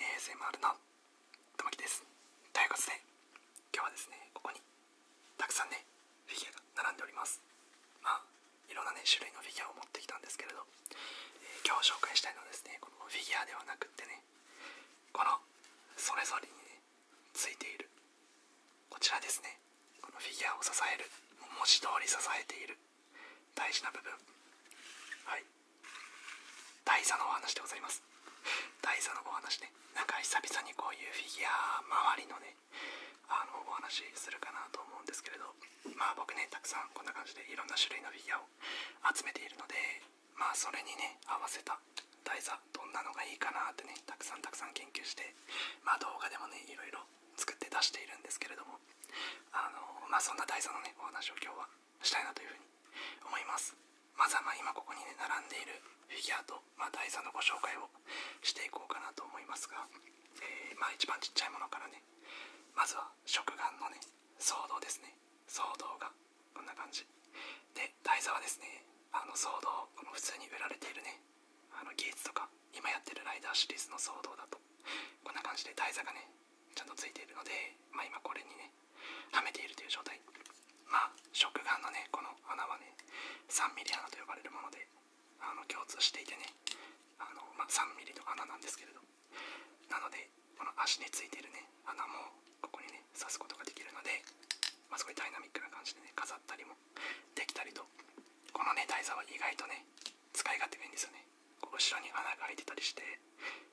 ASMR のともきですということで今日はですねここにたくさんねフィギュアが並んでおりますまあいろんなね種類のフィギュアを持ってきたんですけれど、え今日紹介したいのはですねこのフィギュアではなくってねこのそれぞれにねついているこちらですねこのフィギュアを支える文字通り支えている大事な部分はい台座のお話でございます台座のお話ねなんか久々にこういうフィギュア周りのねあのお話するかなと思うんですけれどまあ僕ねたくさんこんな感じでいろんな種類のフィギュアを集めているのでまあそれにね合わせた台座どんなのがいいかなってねたくさんたくさん研究してまあ動画でもねいろいろ作って出しているんですけれどもあのまあそんな台座のねお話を今日はしたいなというふに思いますまずはま今ここにね並んでいるフィギュアとま台座のご紹介をしていこうかなと思いますが、えまあ一番ちっちゃいものからねまずは食玩のね騒動ですね騒動がこんな感じで台座はですねあの騒動この普通に売られているねあの技術とか今やってるライダーシリーズの騒動だとこんな感じで台座がねちゃんとついているのでま今これにねはめているという状態まあ食眼のねこの穴はね3 m m 穴と呼ばれるものであの共通していてねあの、ま3 m m の穴なんですけれどなのでこの足についてるね穴もここにね刺すことができるので、ますごいダイナミックな感じでね飾ったりもできたりとこのね台座は意外とね使い勝手がいいんですよねこう後ろに穴が開いてたりして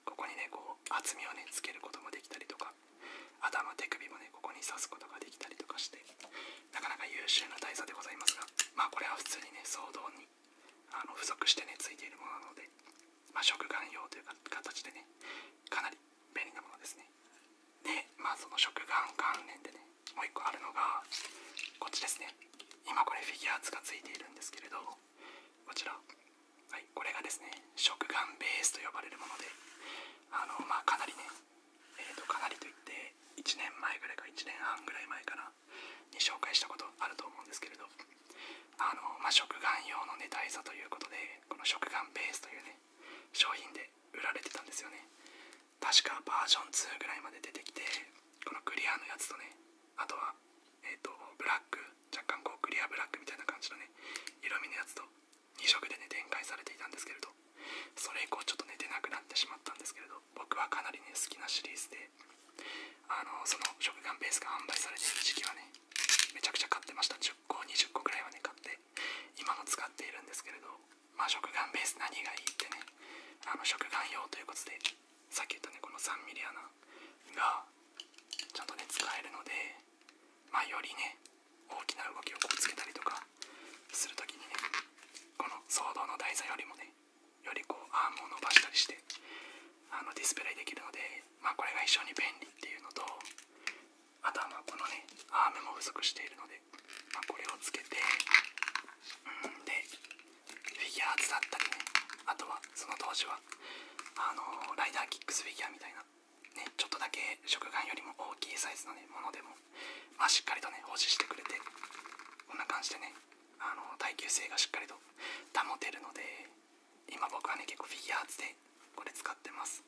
ここにねこう厚みをねつけることもできたりとか頭手首もねここに刺すことができたりとかしてなかなか優秀な大座でございますがまこれは普通にね騒動にあの付属してねついているものなので、ま食玩用という形でねかなり便利なものですねでまあその食玩関連でねもう1個あるのがこっちですね今これフィギュアーツがついているんですけれどこちらはい、これがですね食玩ベースと呼ばれるものであの、まかなりね、えー、とかなりといって1年前ぐらいか1年半ぐらい前かなに紹介したことあると思うんですけれどあの、ま食玩用のね台座ということでこの食玩ベースというね商品で売られてたんですよね確かバージョン2ぐらいまで出てきてこのクリアのやつとねあとはえっ、とブラック若干こうクリアブラックみたいな感じのね色味のやつと2色でね展開されていたんですけれどそれ以降ちょっとね出なくなってしまったんですけれど僕はかなりね好きなシリーズであのその食玩ベースが販売されている時期はねめちゃくちゃ買ってました10個20個くらいはね買って今の使っているんですけれどまあ食玩ベース何がいいってねあの食玩用ということでさっき言ったねこの3ミリ穴がちゃんとね使えるのでまよりね大きな動きをこうつけたりとかするときにねこの騒動の台座よりもねよりこうアームを伸ばしたりしてあのディスプレイできるので、まこれが非常に便利っていうのとあとはこのねアームも不足しているので、まこれをつけてうんでフィギュアーツだったりねあとはその当時はあのライダーキックスフィギュアみたいなね、ちょっとだけ食玩よりも大きいサイズの、ね、ものでも、まあ、しっかりとね保持してくれてこんな感じでねあの耐久性がしっかりと保てるので今僕はね結構フィギュアーツでこれ使ってます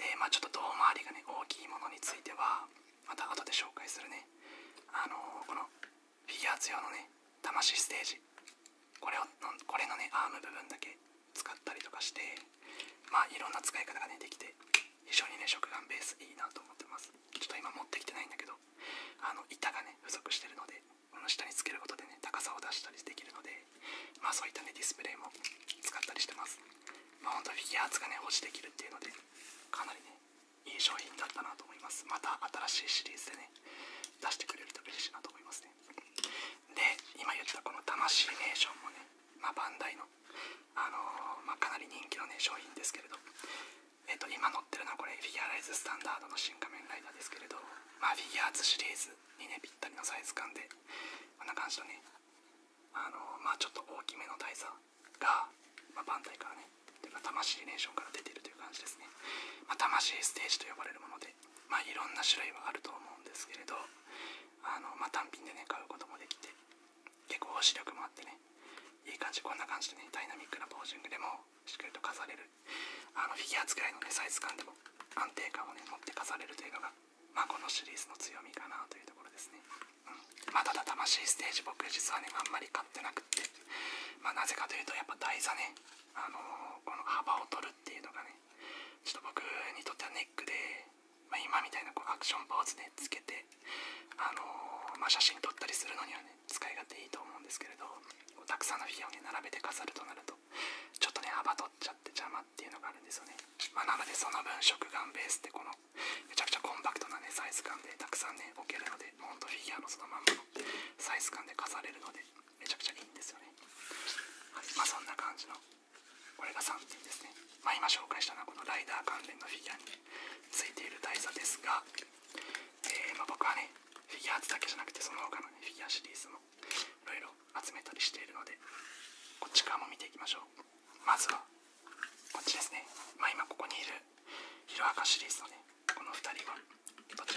でまちょっと胴回りがね大きいものについてはまた後で紹介するねあのこのフィギュアーツ用のね魂ステージこれをこれのねアーム部分だけ使ったりとかしてまあいろんな使い方がねできて非常にね食玩ベースいいなと思ってますちょっと今持ってきてないんだけどあの板がね不足してるのでこの下につけることでね高さを出したりできるのでまあそういったねディスプレイも使ったりしてますまあほんとフィギュアーツがね保持できるっていうのでかなりねいい商品だったなと思いますまた新しいシリーズでね出してくれると嬉しいなと思いますねで今言ったこの魂ネーションもね、まバンダイの、あのまかなり人気の、ね、商品ですけれど、えー、と今乗ってるのはこれフィギュアライズスタンダードの新仮面ライダーですけれど、まフィギュアーツシリーズにねぴったりのサイズ感でこんな感じのね、あのまちょっと大きめの台座が、まバンダイからねというか魂ネーションから出ているという感じですね、ま魂ステージと呼ばれるものでまいろんな種類はあると思うんですけれどあの、ま単品でね買うこともできて結構保持力もあってねいい感じこんな感じでねダイナミックなポージングでもしっかりと飾れるあのフィギュア使いのねサイズ感でも安定感をね持って飾れるというのが、まこのシリーズの強みかなというところですね、うんまただ魂ステージ僕実はねあんまり買ってなくってまなぜかというとやっぱ台座ねあのこの幅を取るっていうのがねちょっと僕にとってはネックで、ま今みたいなこうアクションポーズで、ね、つけて、あのま写真撮ったりするのにはね使い勝手いいと思うんですけれどたくさんのフィギュアをね並べて飾るとなるとちょっとね幅取っちゃって邪魔っていうのがあるんですよね、まなのでその分食玩ベースってこのめちゃくちゃコンパクトなねサイズ感でたくさんね置けるのでほんとフィギュアのそのまんまのサイズ感で飾れるのでめちゃくちゃいいんですよね、はい、まそんな感じのこれが3点ですね。ま今紹介したのはこのライダー関連のフィギュアについている大差ですが、えま僕はね、フィギュアーズだけじゃなくてその他の、ね、フィギュアシリーズもいろいろ集めたりしているので、こっち側も見ていきましょう。まずは、こっちですね。ま今ここにいるヒロアカシリーズのね、この2人はと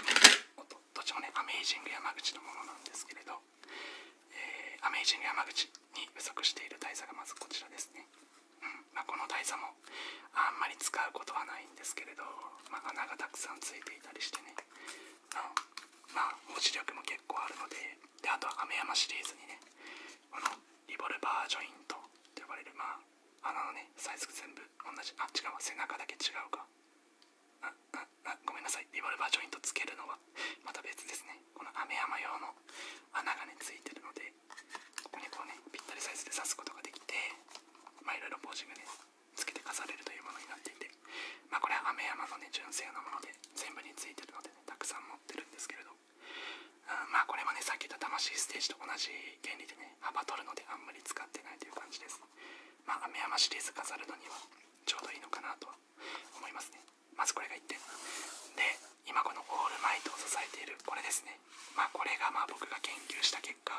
てちも、どっちもね、アメージング山口のものなんですけれど、えアメイジング山口に不足している台座がまずこちらですね。うんまあ、この台座もあんまり使うことはないんですけれど、ま穴がたくさんついていたりしてね、うん、まあ保力も結構あるのでであとは雨山シリーズにねこのリボルバージョイントと呼ばれるまあ穴のねサイズが全部同じあっ違う背中だけ違うかああごめんなさいリボルバージョイントつけるのはまた別ですねこの飴山用の穴がねついてるのでここにこうねぴったりサイズで刺すことができてまいろいろポージングねつけて飾れるというものになっていてまこれは飴山のね純正のもので全部についてるので、ね、たくさん持ってるんですけれど、うん、まあこれはねさっき言った魂ステージと同じ原理でね幅取るのであんまり使ってないという感じですまあ飴山シリーズ飾るのにはちょうどいいのかなとは思いますねまずこれが1点で今このオールマイトを支えているこれですねまあこれがまあ僕が研究した結果、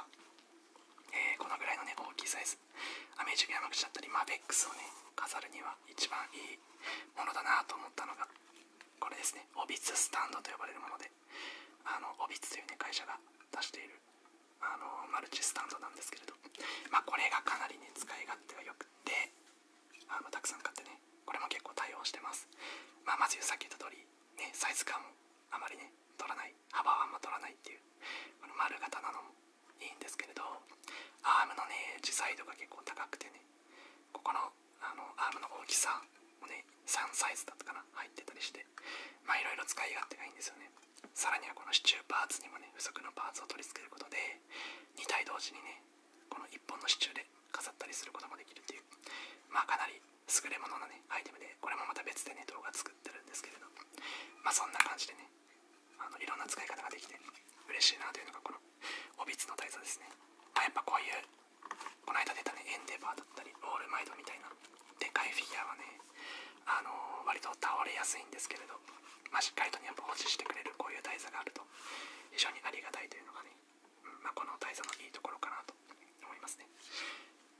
えこのぐらいのね大きいサイズアメージング山口だったりマーベックスをね飾るには一番いいものだなと思ったのがこれですねオビツスタンドと呼ばれるものであのオビツというね会社が出しているあのマルチスタンドなんですけれど、まあ、これがかなりね使い勝なはよくてあのたくさん買ってねこれも結構対応してます、まあ、まずさっき言った通りねサイズ感もあまりね取らない幅はあんま取らないっていうこの丸型なのもいいんですけれどアームのね自在度が結構高くてねここのあのアームの大きさもね3サイズだったかな入ってたりしてまあいろいろ使い勝手がいいんですよねさらにはこの支柱パーツにもね不足のパーツを取り付けることで2体同時にねこの1本の支柱で飾ったりすることもできるっていうまあかなり優れものなねアイテムでこれもまた別でね動画作ってるんですけれどまあそんな感じでねあのいろんな使い方ができて嬉しいなというのがこのオビツの大佐ですね、あ、やっぱこういうこの間出たねエンデバーだったりオールマイドみたいなでかいフィギュアはねあの割と倒れやすいんですけれど、まあ、しっかりと、やっぱ保持してくれるこういう台座があると非常にありがたいというのがね、まあ、この台座のいいところかなと思いますね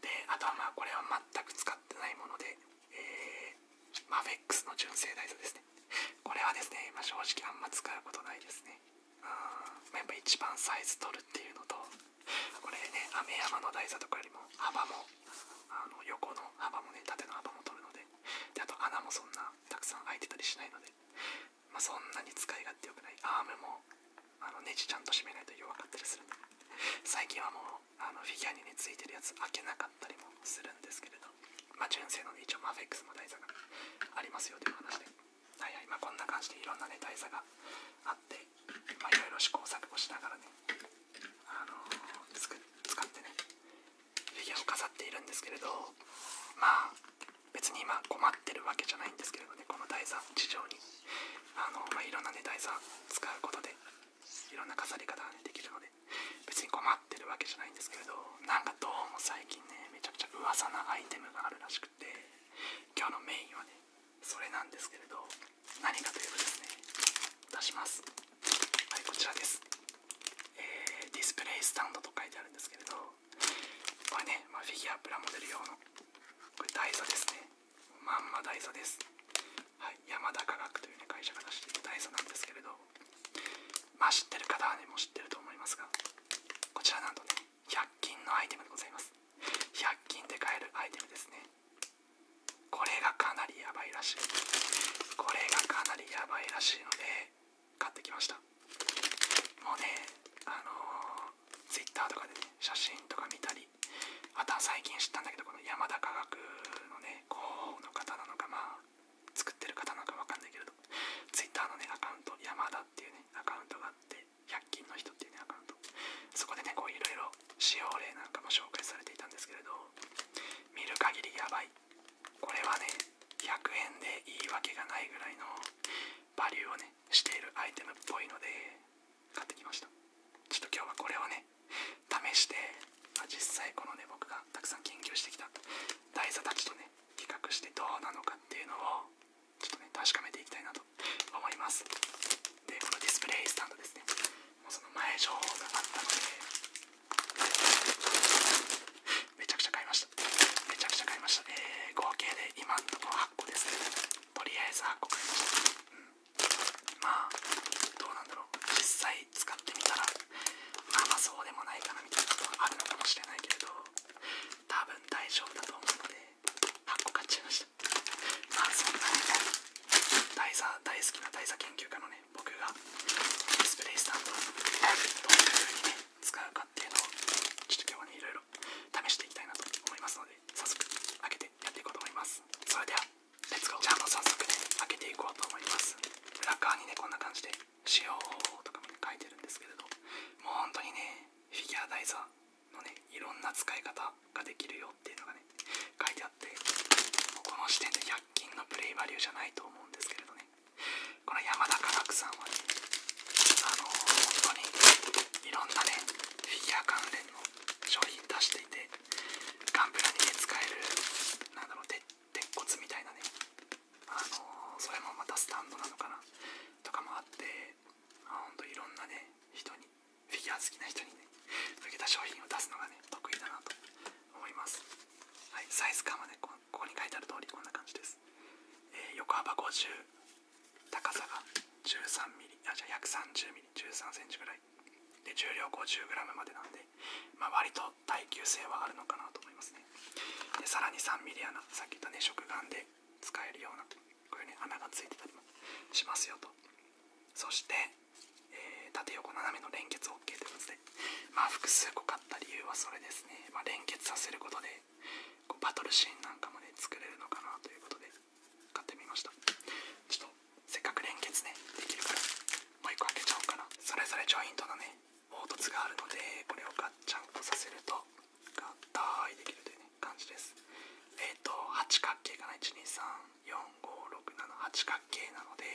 であとはまあこれは全く使ってないもので、えー、マフェックスの純正台座ですねこれはですね、まあ、正直あんま使うことないですねうん、まあ、やっぱ一番サイズ取るっていうのとこれね雨山の台座とかよりも幅もあの横の幅もね縦の幅も取るのでであと穴もそんなたくさん開いてたりしないので、まそんなに使い勝手良くないアームもあのネジちゃんと締めないと弱かったりするんで最近はもうあのフィギュアに、ね、ついてるやつ開けなかったりもするんですけれど、ま純正の、ね、一応マフェックスの台座がありますよという話で、はいはいまこんな感じでいろんな、ね、台座があって、まあ、いろいろ試行錯誤しながらね、あのー、使ってねフィギュアを飾っているんですけれどまあ別に今困ってるわけじゃないんですけれどねこの台座地上にあの、まいろんなね台座使うことでいろんな飾り方が、ね、できるので別に困ってるわけじゃないんですけれどなんかどうも最近ねめちゃくちゃ噂なアイテムがあるらしくて今日のメインはねそれなんですけれど何かということですね出しますはいこちらです、ディスプレイスタンドと書いてあるんですけれどこれね、まフィギュアプラモデル用のこれダ台座ですねまんまダ台座です、はい、山田科学という、ね、会社が出している台座なんですけれどまあ知ってる方はねもう知ってると思いますがこちらなんとね100均のアイテムでございます100均で買えるアイテムですねこれがかなりやばいらしいこれがかなりやばいらしいので買ってきましたもうねあのー、Twitter とかでね写真とか見たりあとは最近知ったんだけどこの山田科学のね広報の方なのかまあ作ってる方なのかわかんないけれど Twitter のねアカウント山田っていうねアカウントがあって100均の人っていうねアカウントそこでねこう色々使用例なんかも紹介されていたんですけれど見る限りやばいこれはね100円で言い訳がないぐらいのバリューをねしているアイテムっぽいので買ってきましたちょっと今日はこれをね試して、あ、実際このね僕がたくさん研究してきた台座たちとね比較してどうなのかっていうのをちょっとね確かめていきたいなと思いますでこのディスプレイスタンドですねその前情報があったのでめちゃくちゃ買いましためちゃくちゃ買いましたえー、合計で今んところ8個ですねとりあえず8個買いました、うん、まあどうなんだろう実際使ってみたらまあまあそうでもないかなみたいなことはあるのかもしれないけれど多分大丈夫だと思うので8個買っちゃいましたまあそんなに大佐大好きな大佐研究家のね僕がディスプレイスタンドをどういう風に使うかっていうのをちょっと今日はねいろ試していきたいなと思いますので早速開けてやっていこうと思いますそれではレッツゴーじゃあもう早速ね開けていこうと思います裏側にねこんな感じで使用方とかも書いてるんですけれどもう本当にねフィギュアイザーのね色んな使い方ができるよっていうのがね書いてあってもうこの時点で100 1のプレイバリューじゃないと思うんですけれどねこの山田科学さんはねあの本当にいろんなねフィギュア関連の商品出していてガンプラに、ね、使えるなだろう鉄骨みたいなねあのそれもまたスタンドなのかなとかもあってほんといろんなね人にフィギュア好きな人にね向けた商品を出すのがね得意だなと思います。はい、サイズ感はねこ、こに書いてある通りこんな感じです。え横幅50、高さが13ミリ、あ、じゃ約30ミリ、13センチぐらい。で、重量50 g までなんで、ま割と耐久性はあるのかなと思いますね。で、さらに3 m m 穴、さっき言ったね、食玩で使えるような、こういうね、穴がついてたりしますよと。そして、えー、縦横斜めの連結 OK ということで、まあ、複数個買った理由はそれですね、まあ、連結させることでバトルシーンなんかもね作れるのかなということで買ってみましたちょっとせっかく連結ねできるからもう1個開けちゃおうかなそれぞれジョイントのね凹凸があるのでこれをガッチャンとさせると合体できるという、ね、感じですえっ、と8角形かな12345678角形なので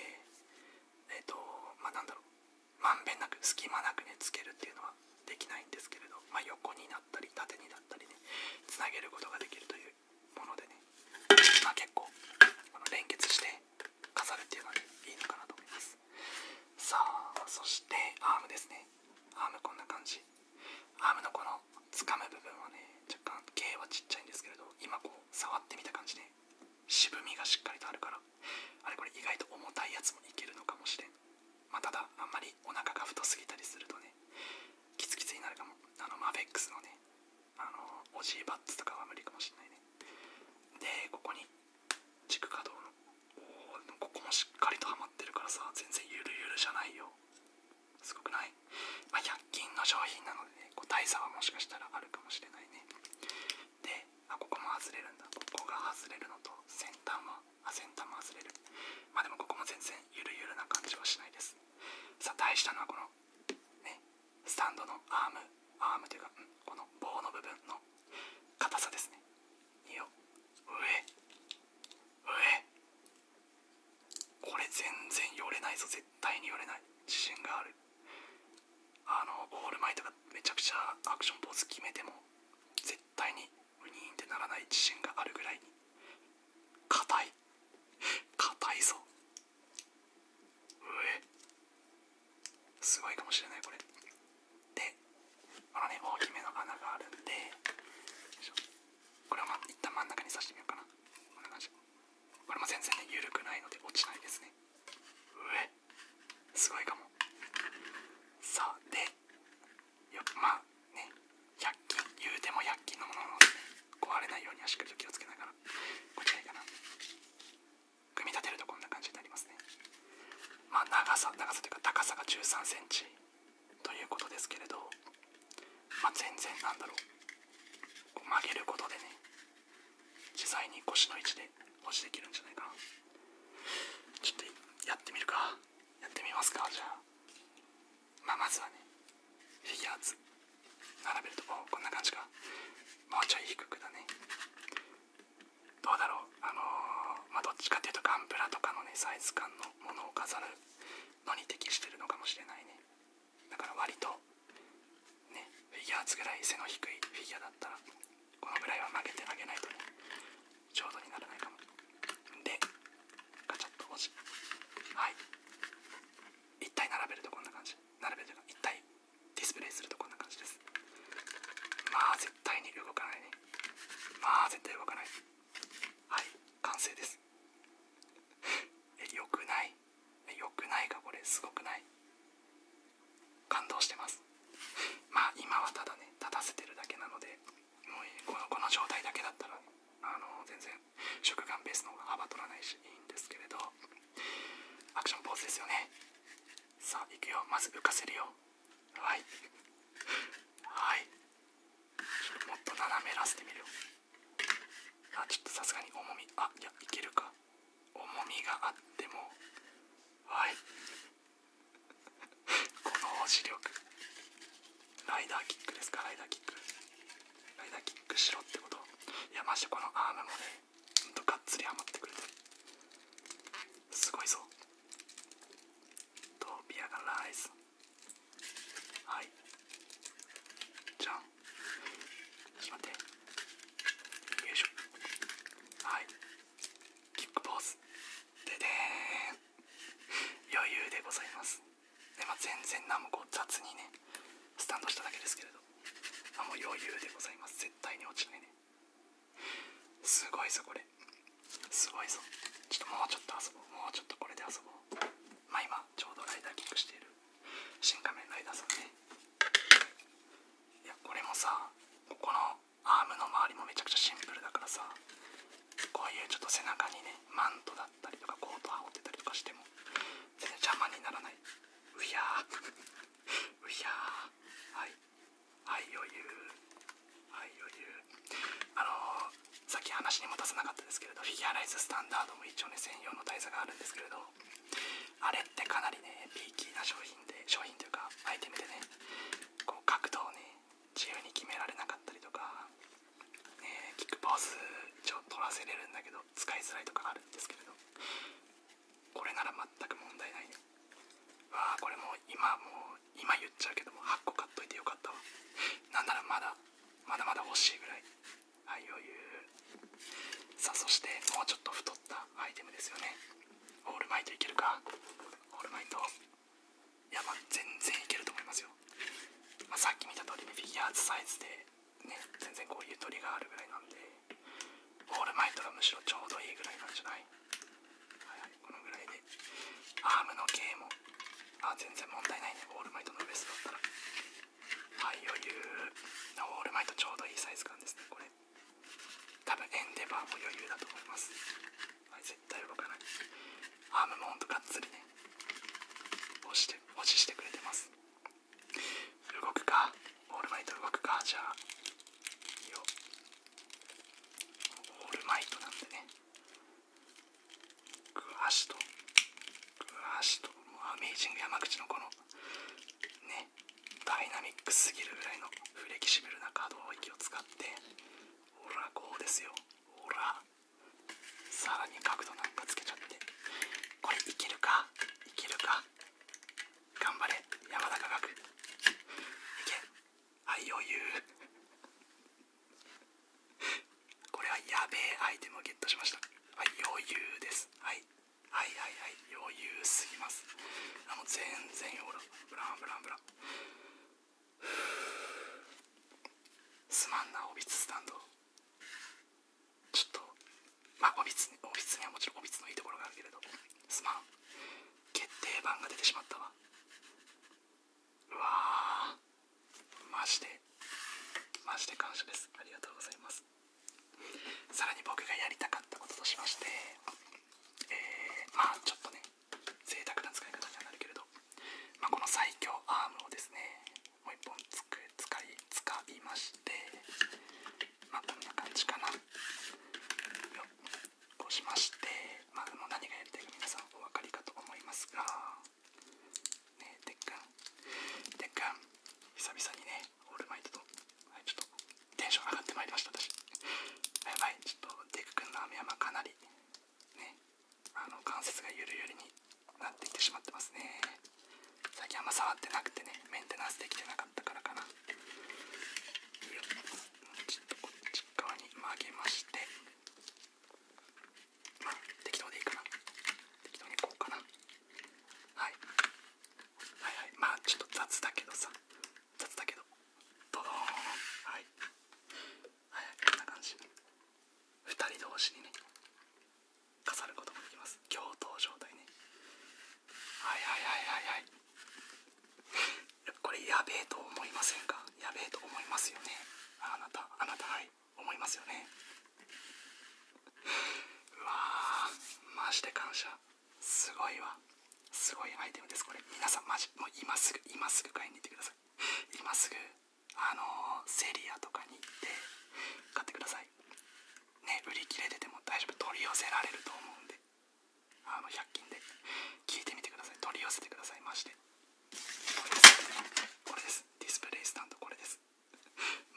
えっ、とまなんだろうまんべんなく隙間なくねつけるっていうのはできないんですけれど、ま横になったり縦になったりねつなげることができるというものでね、ま結構連結して飾るっていうのは、いいのかなと思いますさあそしてアームですねアームこんな感じアームのこのつかむ部分はね若干径はちっちゃいんですけれど今こう触ってみた感じね渋みがしっかりとあるからあれこれ意外と重たいやつもいけるのかもしれんまただあんまりお腹が太すぎたりするとねキツキツになるかもあのマフェックスのねあのオジーバッツとかは無理かもしれないねでここに軸可動のここもしっかりとはまってるからさ全然ゆるゆるじゃないよすごくない、あ、100均の商品なのでね個体差はもしかしたらあるかもしれないねであここも外れるんだここが外れるのと先端は先端も外れるまあでもここも全然ゆるゆるな感じはしないですさあ大事なのはこのねスタンドのアームアームというか、この棒の部分の硬さですねいいよ上上これ全然寄れないぞ絶対に寄れない自信があるあのオールマイトがめちゃくちゃアクションポーズ決めても絶対にウニーンってならない自信があるぐらいに硬い硬いぞうすごいかもしれないこれでこのね大きめの穴があるんでこれはま一旦真ん中に刺してみようかなこんな感じこれも全然ね緩くないので落ちないですねえすごいかもさあでよまあね100均言うても100均のものなので、壊れないようにはしっかりと気をつけながらこっちがいいかな組み立てるとこんな感じになりますねまあ長さ長さというか高さが1 3センチということですけれどまあ全然なんだろうこう曲げることでね自在に腰の位置で保持できるんじゃないかちょっとやってみるかやってみますかじゃあままずはねフィギュアーツ並べるとここんな感じかもうちょい低くだねどうだろうあのまどっちかっていうとガンプラとかのねサイズ感のものを飾るのに適してるのかもしれないねだから割とねフィギュアーツぐらい背の低いフィギュアだったらこのぐらいは曲げてあげないとねちょうどにならないかもでガチャっと押しはい1。体並べるとこんな感じ並べると一体ディスプレイするとこんな感じですまあ絶対に動かないねまあ絶対動かないはい完成ですえよくないえよくないかこれすごくない感動してますまあ今はただね立たせてるだけなのでもうこのこの状態だけだったら、あの全然食感ベースの方が幅取らないしいいんですけれどアクションポーズですよねさあ行くよまず浮かせるよはいはいもっと斜めらせてみるよあちょっとさすがに重みあいやいけるか重みがあってもはい この押し力ライダーキックですかライダーキックライダーキックしろってこと山やこのアームもねほんとがっつりハマってくれてすごいぞトビアがライズはいじゃんちょっとってよいしょはいキックポーズででーん余裕でございますで、ま全然何もこう雑にねスタンドしただけですけれどあもう余裕でございます絶対に落ちないねすごいぞこれすごいぞちょっともうちょっと遊ぼうもうちょっとこれで遊ぼうま今ちょうどライダーキックしている新仮面ライダーさんねいやこれもさここのアームの周りもめちゃくちゃシンプルだからさこういうちょっと背中にねマントだったりとかコート羽織ってたりとかしても全然邪魔にならないうひゃー うひゃはいはい余裕はい余裕あのさっき話にも出さなかったですけれどフィギュアライズスタンダードも一応ね専用の台座があるんですけれどあれってかなりねピーキーな商品で商品というかアイテムでねこう角度をね自由に決められなかったりとか、ね、キックポーズ一応取らせれるんだけど使いづらいとかあるんですけれどこれなら全く問題ないわあこれもう今もう今言っちゃうけども8個買っといてよかったわなんならまだまだまだ欲しいぐらいはい余裕さあそしてもうちょっと太アイテムですよねオールマイトいけるかオールマイトいや全然いけると思いますよ、まさっき見た通りフィギュアーズサイズでね全然こういう鳥があるぐらいなんでオールマイトがむしろちょうどいいぐらいなんじゃないはい、このぐらいでアームの系もあ全然問題ないねオールマイトのベストだったらはい余裕のオールマイトちょうどいいサイズ感ですねこれはい多分エンデバーも余裕だと思います、はい、絶対動かないアームモほんとがっつりね押して保持してくれてます動くかオールマイト動くかじゃあいいよオールマイトなんでねグワシとグワシとアメージング山口のこのねダイナミックすぎるぐらいのフレキシブルな可動域を使ってほらこうですよほらさらに角度なんかつけちゃってこれいけるかいけるか頑張れ山田中学いけはい余裕これはやべえアイテムをゲットしましたはい余裕ですはいはいはいはい余裕すぎますあもう全然ほらブランブランブランすまんなおびつスタンドちょっとまあおびつにおびつにはもちろんオおびつのいいところがあるけれどすまん決定版が出てしまったわうわーマジでマジで感謝ですありがとうございますさらに僕がやりたかったこととしまして、えー、まあちょっとね贅沢な使い方にはなるけれど、まこの最強アームをですねもう1本つく使いつかましてまあこんな感じかなこうしまして、まあ、も何がやりたいか皆さんお分かりかと思いますがねえてっくんてっくん久々にねオールマイトと、はい、ちょっとテンション上がってまいりました、私。やばい、ちょっとデク君の雨山かなりね、あの関節がゆるゆるになってきてしまってますね。最近あんま触ってなくてね、メンテナンスできてなかったからかな。ちょっとこっち側に曲げまして、まあ、適当でいいかな。適当にこうかな。はい。はいはい。まあ、ちょっと雑だけどさ、っとだけどドドーンはいはいこんな感じ2人同士にね飾ることもできます共闘状態ねはいはいはいはいはいこれやべえと思いませんかやべえと思いますよねあなたあなたはい思いますよねうわーマジで感謝すごいわすごいアイテムですこれ皆さんマジもう今すぐ今すぐ買いに行ってください今すぐあのセリアとかに行って買ってくださいね売り切れてても大丈夫取り寄せられると思うんであの100均で聞いてみてください取り寄せてくださいマジでこれですこれですディスプレイスタンドこれです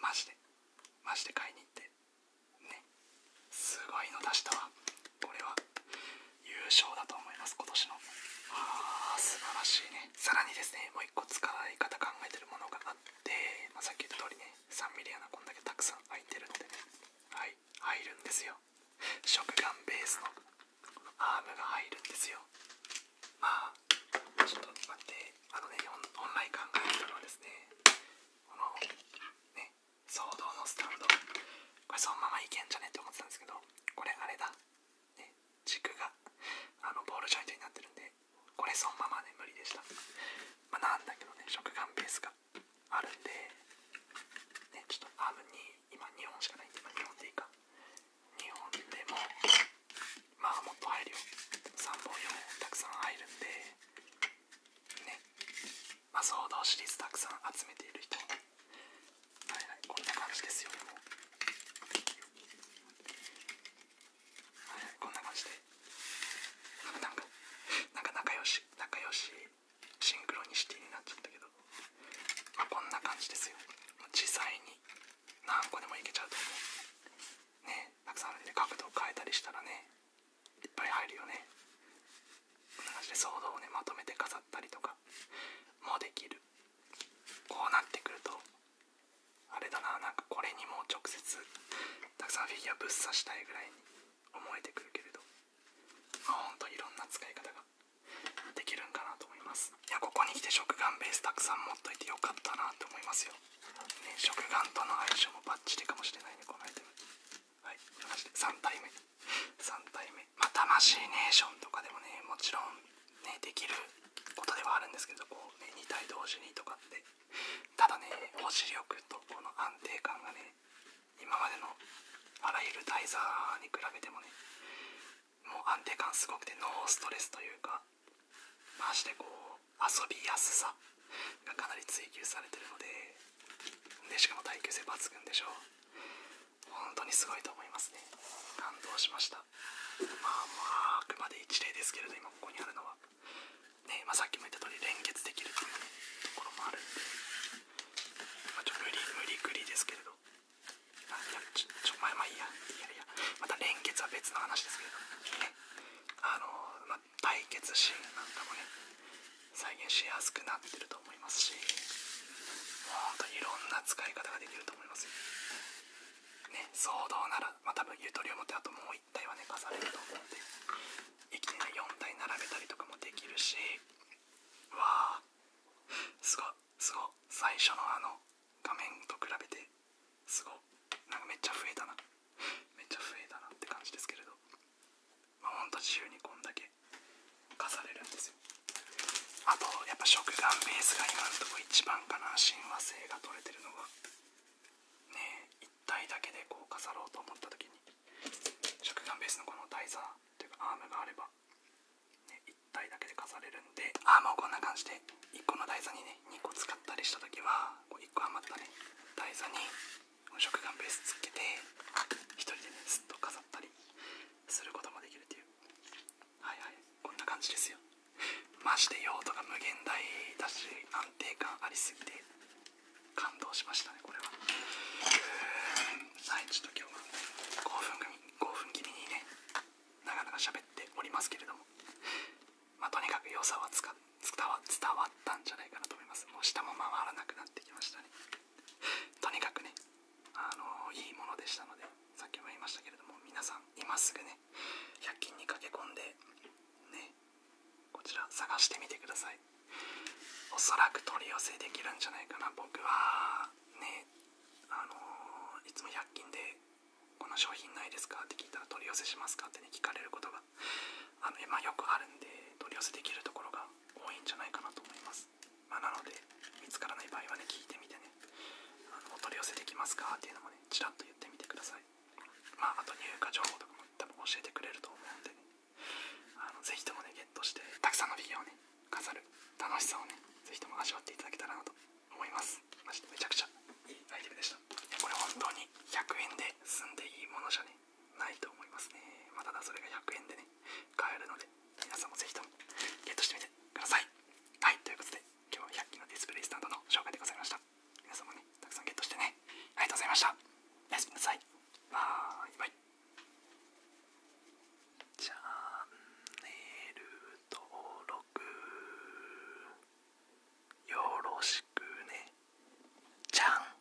マジでマジで買いに行ってねすごいの出したわこれは優勝だと思います今年のああ、素晴らしいねさらにですねもう1個使い方考えてるものがあって、まさっき言った通りね 3mm 穴こんだけたくさん開いてるんでねはい入るんですよ食感ベースのアームが入るんですよまあちょっと待ってあのねオンライン考えてるのはですねこのね騒動のスタンドこれそのままいけんじゃねって思ってたんですけどこれあれだね軸があのボールジョイントになってるんでこれそのままね無理でしたまあなんだけどね食感ペースがあるんでねちょっとアームに今2本しかないんで今2本でいいか2本でもまあもっと入るよ3本4本たくさん入るんでねまあ、ソードシリーズたくさん集めている人はいはいこんな感じですよもうはいはいこんな感じでなんかなんか仲良し仲良しシンクロニシティになっちゃったけど、まあ、こんな感じですよ実際に何個でもいけちゃうと思うねたくさんあるんで角度を変えたりしたらねいっぱい入るよねこんな感じでソードをねまとめて飾ったりとかもできるこうなってくるとあれだななんかこれにもう直接たくさんフィギュアぶっ刺したいぐらいに思えてくるけれどまあほんといろんな使い方ができるんかなと思いますいやここに来て食玩ベースたくさん持っといてよかったなと思いますよ、ね、食玩との相性もバッチリかもしれないねこのアイテムはい3体目3体目ま魂ネーションとかでもねもちろんねできることではあるんですけどこう、ね、2体同時にとかってただね保持力とこの安定感がね今までのあらゆるタイザーに比べてもねもう安定感すごくてノーストレスというかましてこう遊びやすさがかなり追求されてるのででしかも耐久性抜群でしょう。本当にすごいと思いますね感動しましたまあまああくまで一例ですけれど今ここにあるのはねまさっきも言った通り連結できるというところもあるんで、まちょ無理無理くりですけれどあいやちょちょまあまあいいやいいやまた連結は別の話ですけれどねあのま対決シーンなんかもね再現しやすくなってると思いますしもうといろんな使い方ができると思いますよね騒動なら、まあ、多分ゆとりを持ってあともう1体はね重ねると思うんで一気に4体並べたりとかもできるしわあすごいすごい最初のあの画面と比べてすごいなんかめっちゃ増えたなめっちゃ増えたなって感じですけれどまほんと自由にこんだけ課されるんですよあとやっぱ食玩ベースが今のところ一番かな親和性が取れてるのは？ねえ一体だけでこう飾ろうと思った時に食玩ベースのこの台座というかアームがあれば、1。体だけで飾れるんでアームをこんな感じで1個の台座にね2個使ったりした時はこう1個余ったね台座に食感ベースつけて1人でねずっと飾ったりすることもできるっていうはいはいこんな感じですよまして、用途が無限大だし安定感ありすぎて感動しましたねこれははいちょっと今日は興奮興奮気味にねなかなかべっておりますけれどもまあとにかく良さを。使って伝わったんじゃないかなと思いますもう下も回らなくなってきましたね とにかくねあのいいものでしたのでさっきも言いましたけれども皆さん今すぐね100均に駆け込んでねこちら探してみてくださいおそらく取り寄せできるんじゃないかな僕はねあのいつも100均でこの商品ないですかって聞いたら取り寄せしますかってね聞かれることがあの今よくあるんで取り寄せできるところが多いんじゃないかなと思います、まなので見つからない場合はね聞いてみてねあのお取り寄せできますかっていうのもねちらっと言ってみてくださいまああと入荷情報とかも多分教えてくれると思うんでねあのぜひともねゲットしてたくさんのフィギュアをね飾る楽しさをねぜひとも味わっていただけたらなと思いますめちゃくちゃいいアイテムでしたいやこれ本当に100円で済んでいいものじゃないと思いますね、まただそれが100円でね買えるので皆さんもぜひともゲットしてみてくださいはいということで今日は100均のディスプレイスタンドの紹介でございました皆さんもねたくさんゲットしてねありがとうございましたおやすみなさいバイバイチャンネル登録よろしくねじゃん